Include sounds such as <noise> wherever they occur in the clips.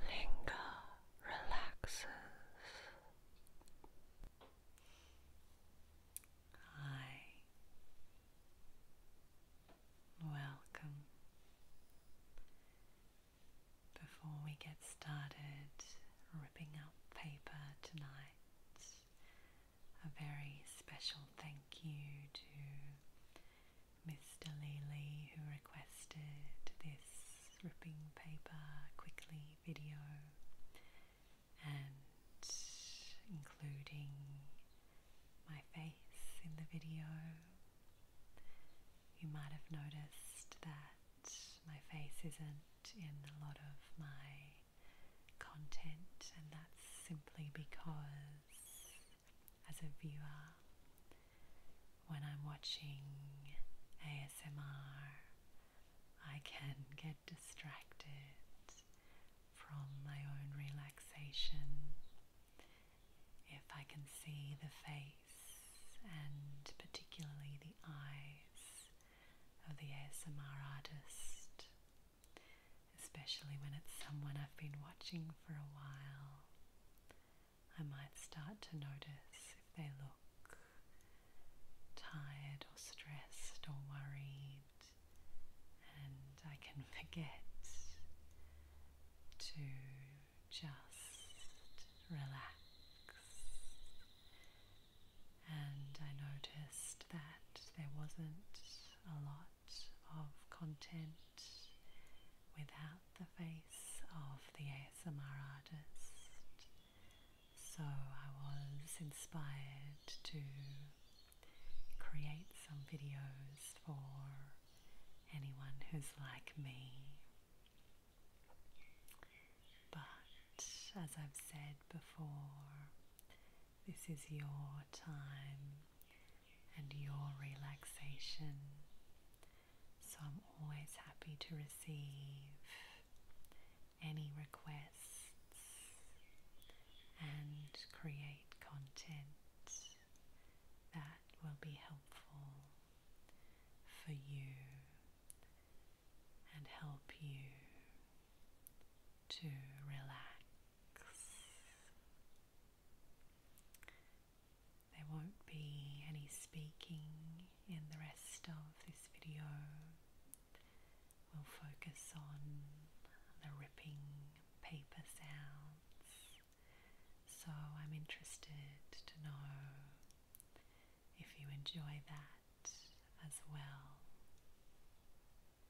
Linger, relaxes. Hi. Welcome. Before we get started ripping up paper tonight, a very special thank you to Mr. Lely, who requested this ripping paper quickly video and including my face in the video. You might have noticed that my face isn't in a lot of my content, and that's simply because as a viewer when I'm watching ASMR. I can get distracted from my own relaxation if I can see the face and particularly the eyes of the ASMR artist, especially when it's someone I've been watching for a while. I might start to notice if they look tired or stressed or worried, and I can <laughs> forget to just relax. And I noticed that there wasn't a lot of content without the face of the ASMR artist. So I was inspired to create some videos for anyone who's like me. But as I've said before, this is your time and your relaxation. So I'm always happy to receive any requests and create content that will be helpful for you and help you to relax. There won't be any speaking in the rest of this video. We'll focus on the ripping paper sounds. So I'm interested to know if you enjoy that as well.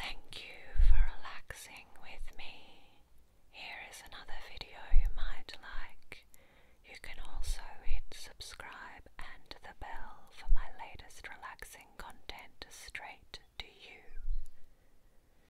Thank you for relaxing with me. Here is another video you might like. You can also hit subscribe and the bell for my latest relaxing content straight to you.